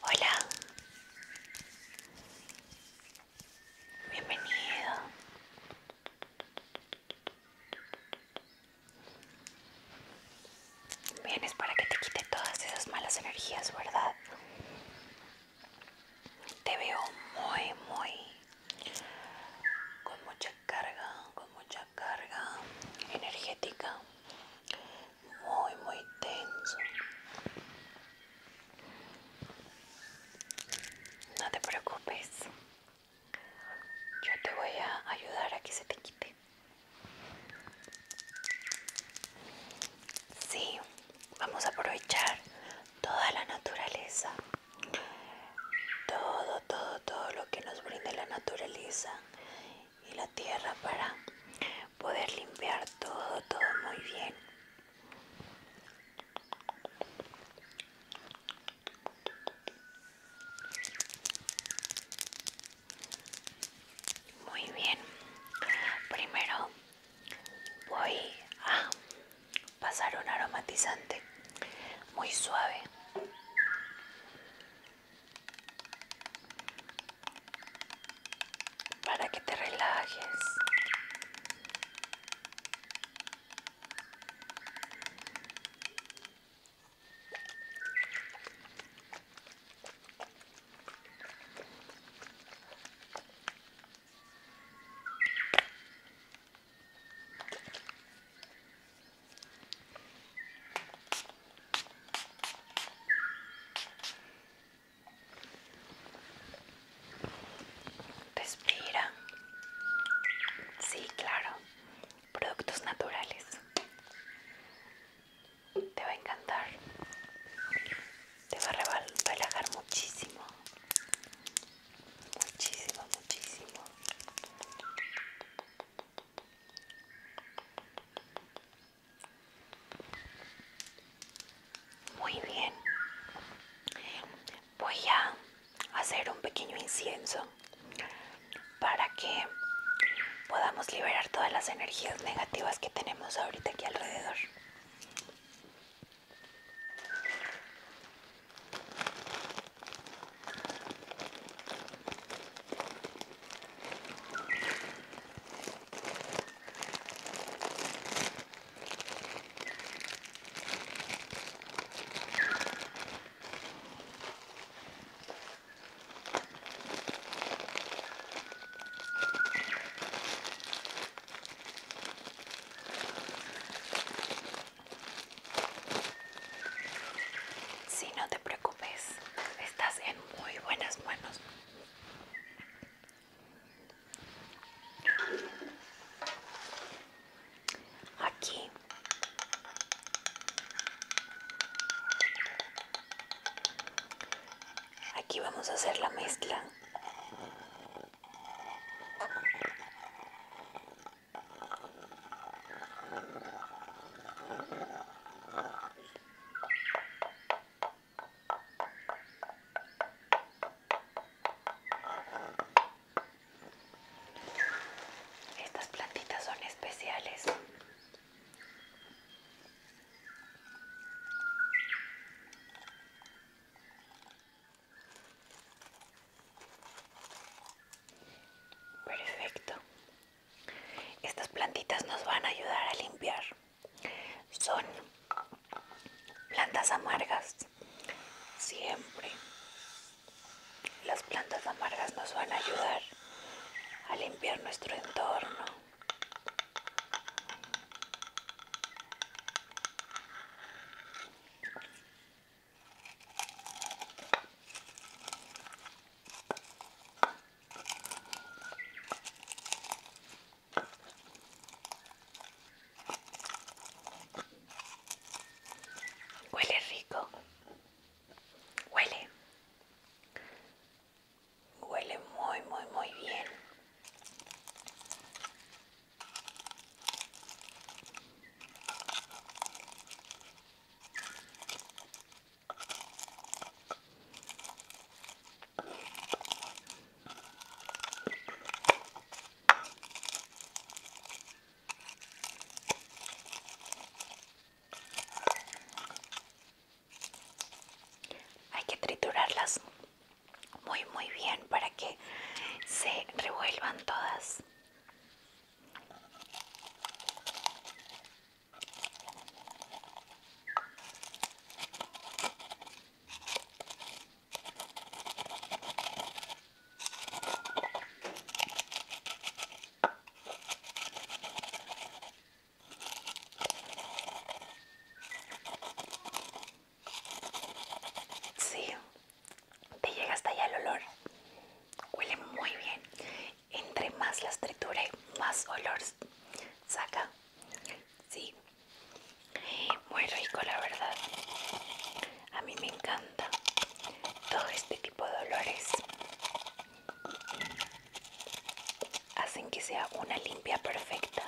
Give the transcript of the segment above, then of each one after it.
Hola, bienvenido. Vienes para que te quite todas esas malas energías, ¿verdad? Te veo muy, muy con mucha carga, con mucha carga energética muy muy tenso no te preocupes yo te voy a ayudar a que se te quite sí vamos a aprovechar toda la naturaleza todo todo todo lo que nos brinde la naturaleza y la tierra para poder limpiar todo, todo muy bien. Muy bien, primero voy a pasar un aromatizante muy suave para que te relajes. Respira. Sí, claro. Productos naturales. Te va a encantar. Te va a relajar muchísimo. Muchísimo, muchísimo. Muy bien. Voy a hacer un pequeño incienso para que podamos liberar todas las energías negativas que tenemos ahorita aquí alrededor. Si no te preocupes estás en muy buenas manos. Aquí aquí vamos a hacer la mezcla estas plantitas son especiales. Perfecto. Estas plantitas nos van a ayudar a limpiar. Son plantas amargas. Siempre las plantas amargas nos van a ayudar a limpiar nuestro entorno. Huele rico. Huele. Huele muy, muy, muy bien. Hay que triturarlas muy muy bien para que se revuelvan todas Sí, te llega hasta allá el olor. Huele muy bien entre más las y más olor saca. Sí. Muy rico, la verdad. A mí me encanta todo este tipo de olores. Hacen que sea una limpia perfecta.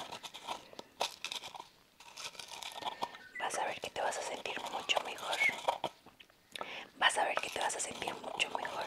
Vas a ver que te vas a sentir mucho mejor vas a ver que te vas a sentir mucho mejor.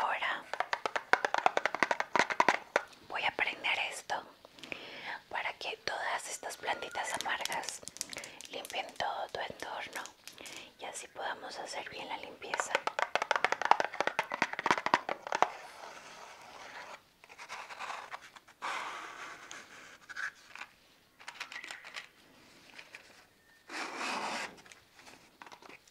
Ahora voy a prender esto para que todas estas plantitas amargas limpien todo tu entorno y así podamos hacer bien la limpieza.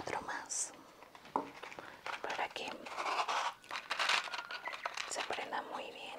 Otro más para que se prenda muy bien.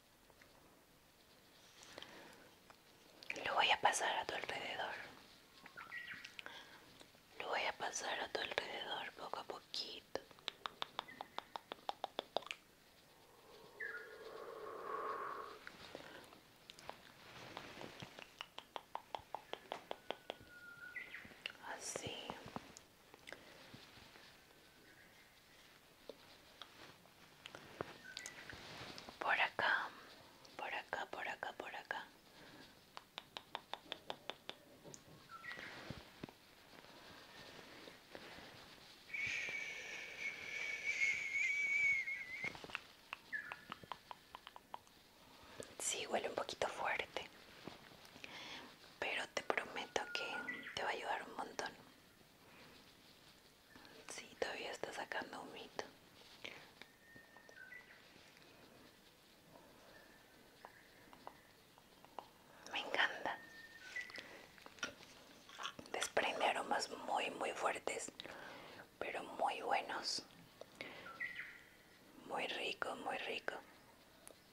Lo voy a pasar a tu alrededor. Lo voy a pasar a tu alrededor poco a poquito. Así, por acá, por acá, por acá, por acá. Sí, huele un poquito fuerte, pero te prometo que te va a ayudar un montón si, todavía está sacando humito. Me encanta. Desprende aromas muy, muy fuertes, pero muy buenos. Muy rico, muy rico.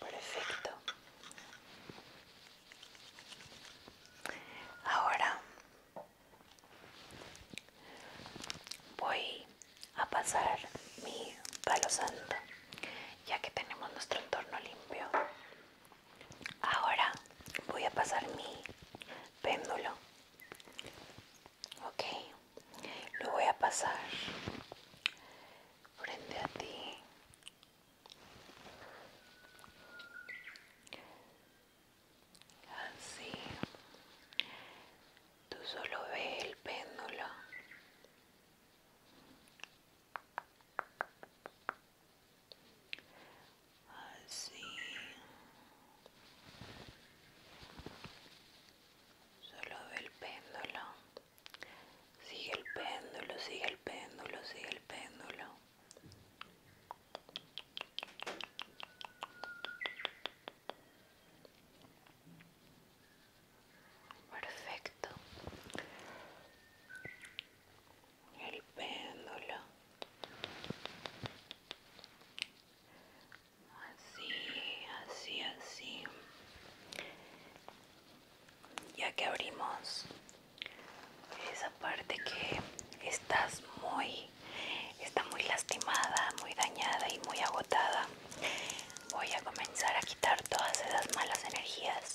Perfecto. Ahora voy a pasar mi palo santo, ya que tenemos nuestro entorno limpio. Ahora voy a pasar mi péndulo. okay, lo voy a pasar frente a ti. Así. Tú solo ve el péndulo así solo ve el péndulo sigue el péndulo sigue el péndulo sigue el péndulo perfecto el péndulo así así así ya que abrimos esa parte que estás muy está muy lastimada muy dañada y muy agotada voy a comenzar a quitar todas esas malas energías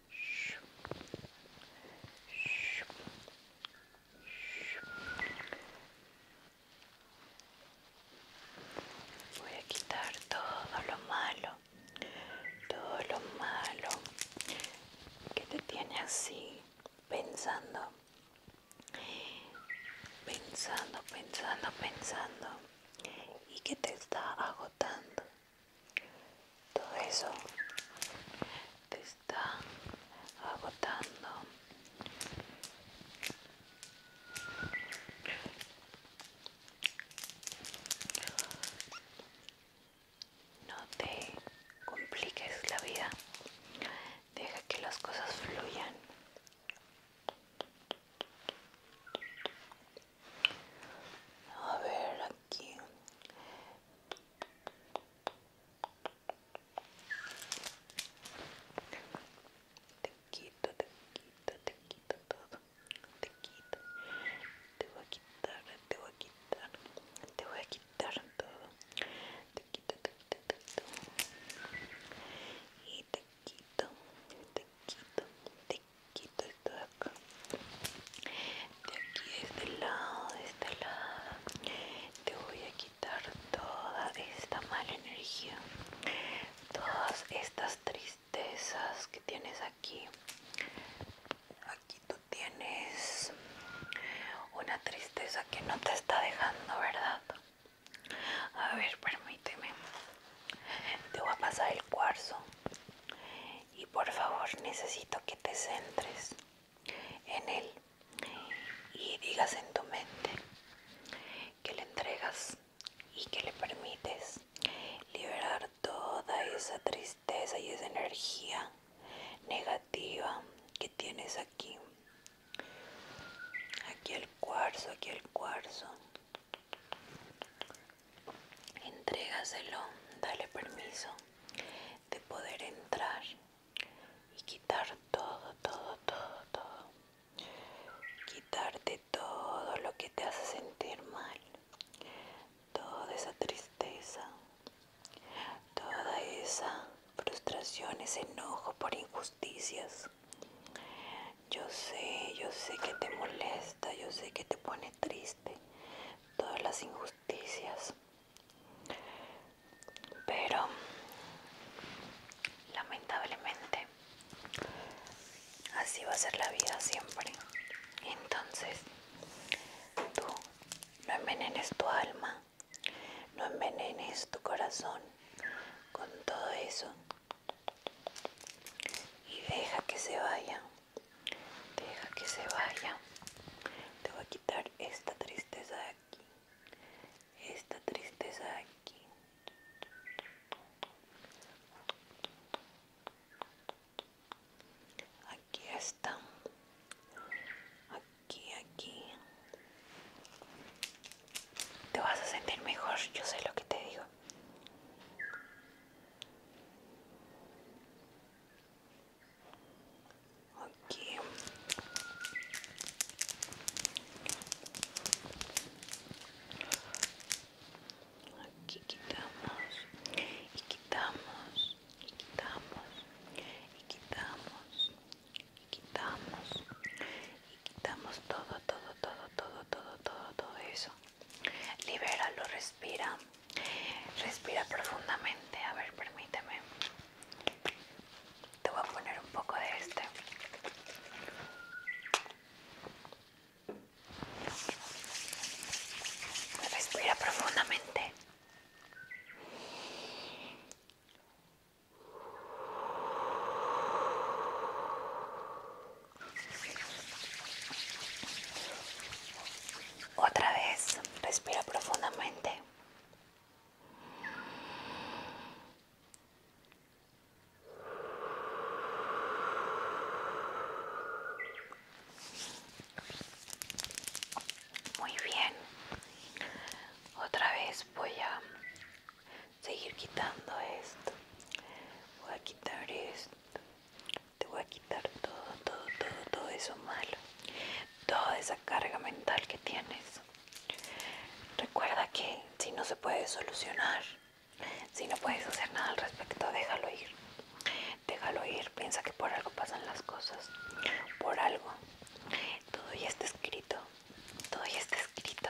Voy a quitar todo lo malo, todo lo malo que te tiene así pensando, pensando, pensando, pensando y que te está agotando todo eso te está agotando no te compliques la vida deja que las cosas fluyan a ver aquí Te quito, te quito, te quito todo. Te quito. Te voy a quitar, te voy a quitar. Te voy a quitar todo. Te quito, te quito, te quito. Y te quito, te quito, te quito, aquí de este lado de este lado te voy a quitar toda esta mala energía todas estas tristezas que tienes aquí aquí tú tienes una tristeza que no te está dejando verdad a ver permíteme te voy a pasar el cuarzo y por favor necesito que te centres en él y digas en tu mente que le entregas y que le permites liberar toda esa tristeza y esa energía negativa que tienes aquí aquí el cuarzo aquí el cuarzo Entrégaselo, dale permiso de poder entrar y quitar todo, todo, todo, todo. Quitarte todo lo que te hace sentir mal, toda esa tristeza, toda esa frustración, ese enojo por injusticias. Yo sé, yo sé que te molesta, yo sé que te pone triste, todas las injusticias. Pero lamentablemente así va a ser la vida siempre. Entonces, tú no envenenes tu alma, no envenenes tu corazón con todo eso y deja que se vaya. Deja que se vaya. Te voy a quitar esta tristeza de aquí. Esta tristeza de aquí. Aquí está. Aquí, aquí. Te vas a sentir mejor, yo sé lo que te digo. Ok. Aquí quitamos y quitamos y quitamos y quitamos y quitamos y quitamos todo, todo, todo, todo, todo, todo, todo eso. Libéralo, respira. Respira profundamente. A ver, permíteme. Te voy a poner un poco de este. Respira profundamente. Otra vez, respira profundamente. Muy bien. Otra vez voy a seguir quitando esto. Voy a quitar esto te voy a quitar todo, todo, todo, todo eso malo, toda esa carga mental que tienes. Recuerda que si no se puede solucionar, si no puedes hacer nada al respecto, déjalo ir. Déjalo ir, piensa que por algo pasan las cosas, por algo. Todo ya está escrito, todo ya está escrito.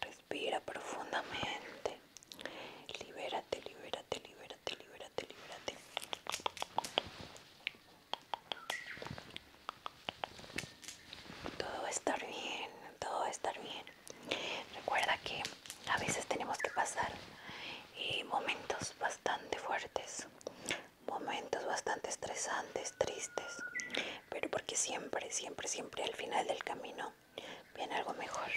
Respira profundamente. Libérate, libérate, libérate, libérate, libérate. Todo va a estar bien, todo va a estar bien. Recuerda que a veces tenemos que pasar eh, momentos bastante fuertes, momentos bastante estresantes, tristes pero porque siempre, siempre, siempre al final del camino viene algo mejor.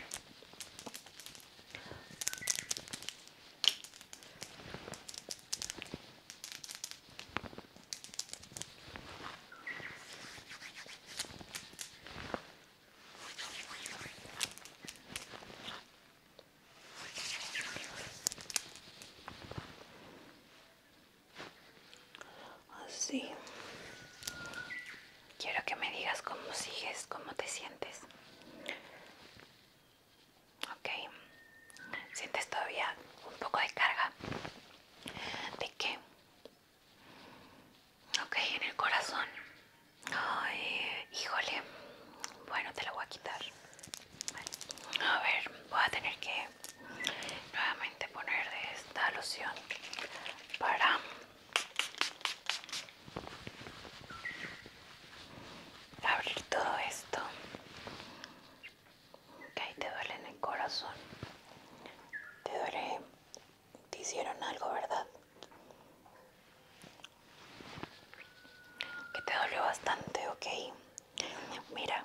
Así. Quiero que me digas cómo sigues, cómo te sientes. Ok. ¿Sientes todavía un poco de carga? ¿De qué? Ok, en el corazón. híjole. Bueno, te la voy a quitar. A ver, voy a tener que nuevamente poner de esta loción para abrir todo esto que ahí te duele en el corazón te duele te hicieron algo verdad que te duele bastante ok mira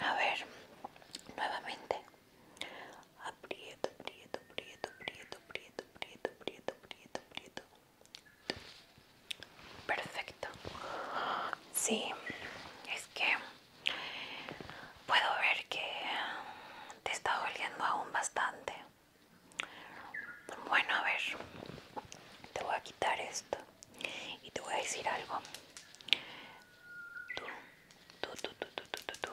a ver, nuevamente. Aprieto, aprieto, aprieto, aprieto, aprieto, aprieto, aprieto, aprieto, aprieto. Perfecto. Sí, es que puedo ver que te está doliendo aún bastante. Bueno, a ver, te voy a quitar esto. Y te voy a decir algo. Tú, tú, tú, tú, tú, tú, tú, tú.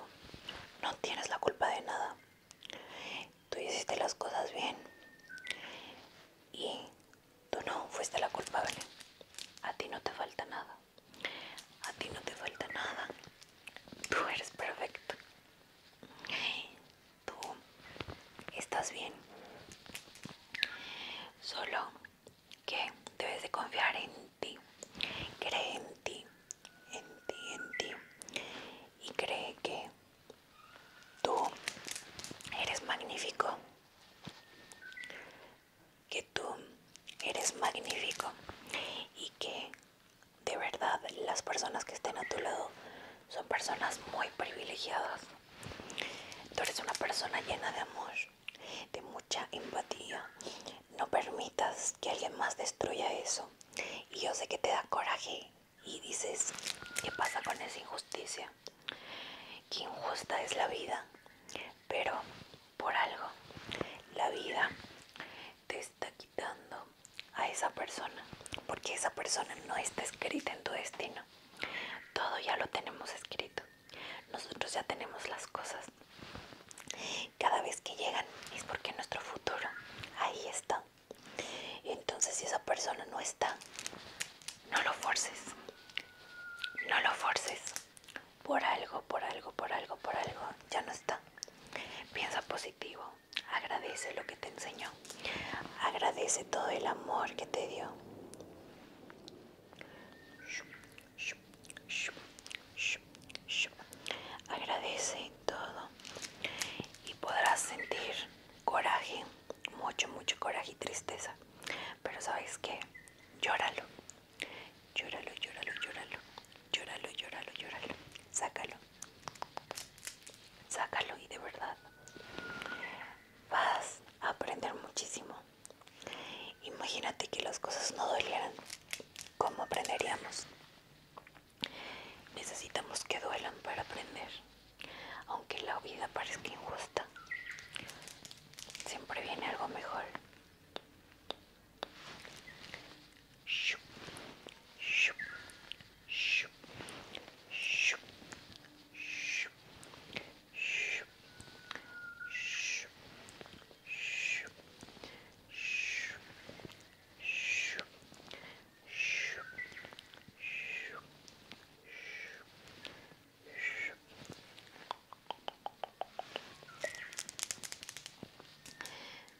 No tienes la culpa de nada. Tú hiciste las cosas bien. Y tú no fuiste la culpable. A ti no te falta nada. A ti no te falta nada. Tú eres perfecto tú estás bien. Solo que debes de confiar en ti. Cree en ti, en ti, en ti. Y cree que tú eres magnífico. Que tú eres magnífico. Y que de verdad las personas que estén a tu lado son personas muy privilegiadas Tú eres una persona llena de amor, de mucha empatía. No permitas que alguien más destruya eso. Y yo sé que te da coraje y dices, ¿qué pasa con esa injusticia? Qué injusta es la vida. Pero por algo, la vida te está quitando a esa persona. Porque esa persona no está escrita en tu destino. Todo ya lo tenemos escrito. Nosotros ya tenemos las cosas. Cada vez que llegan es porque nuestro futuro ahí está. Entonces si esa persona no está, no lo forces. No lo forces. Por algo, por algo, por algo, por algo. Ya no está. Piensa positivo. Agradece lo que te enseñó. Agradece todo el amor que te dio. Agradece todo y podrás sentir coraje, mucho, mucho coraje y tristeza. Pero sabes qué, llóralo, llóralo, llóralo, llóralo, llóralo, llóralo, llóralo, sácalo, sácalo y de verdad vas a aprender muchísimo. Imagínate que las cosas no dolieran. ¿Cómo aprenderíamos? Necesitamos que duelan para aprender. Aunque la vida parezca injusta, siempre viene algo mejor.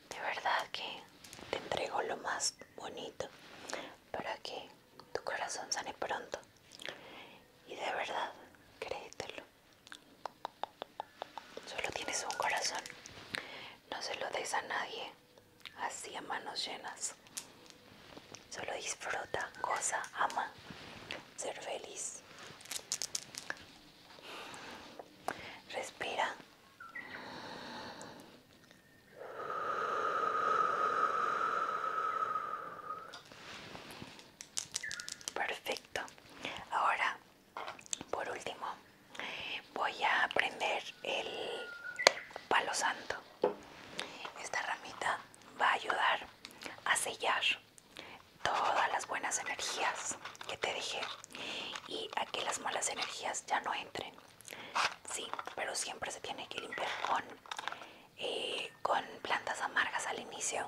De verdad que te entrego lo más bonito para que tu corazón sane pronto y de verdad créetelo solo tienes un corazón no se lo des a nadie así a manos llenas solo disfruta goza ama ser feliz respira Perfecto. Ahora, por último, voy a prender el palo santo. Esta ramita va a ayudar a sellar todas las buenas energías que te dejé y a que las malas energías ya no entren. Sí, pero siempre se tiene que limpiar con, eh, plantas amargas al inicio.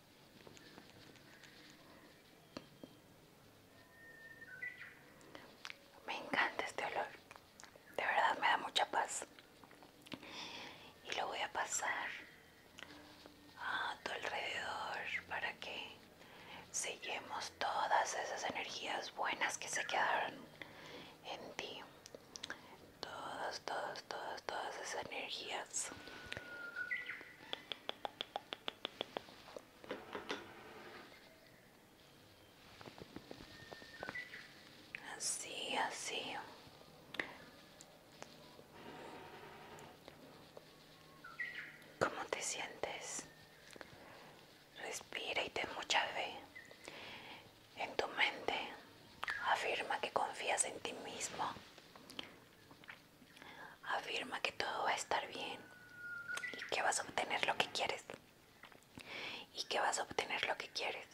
Me encanta este olor. De verdad me da mucha paz. Y lo voy a pasar a tu alrededor para que sellemos todas esas energías buenas que se quedaron en ti. Todas, todas, todas, todas esas energías Así, así. ¿Cómo te sientes? Respira y ten mucha fe. En tu mente afirma que confías en ti mismo. Afirma que todo va a estar bien y que vas a obtener lo que quieres. Y que vas a obtener lo que quieres.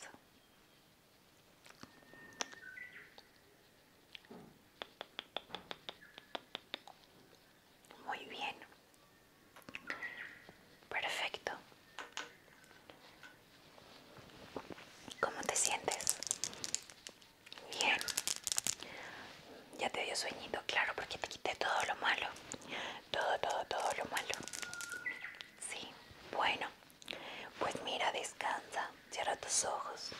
Muy bien. Perfecto. ¿Cómo te sientes? Bien. Ya te dio sueñito, claro, porque te quité todo lo malo. Todo, todo, todo lo malo. Sí, bueno. Pues mira, descansa. Cierra tus ojos.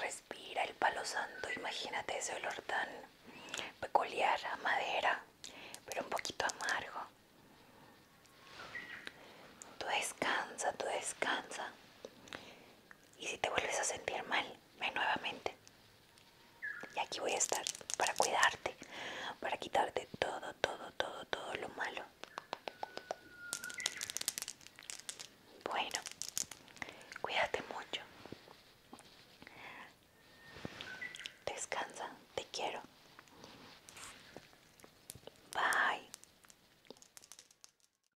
Respira el palo santo. Imagínate ese olor tan peculiar a madera, pero un poquito amargo. Tú descansa, tú descansa. Y si te vuelves a sentir mal, ven nuevamente. Y aquí voy a estar para cuidarte, para quitarte todo, todo, todo, todo lo malo. Bueno, cuídate mucho. Descansa, te quiero. Bye.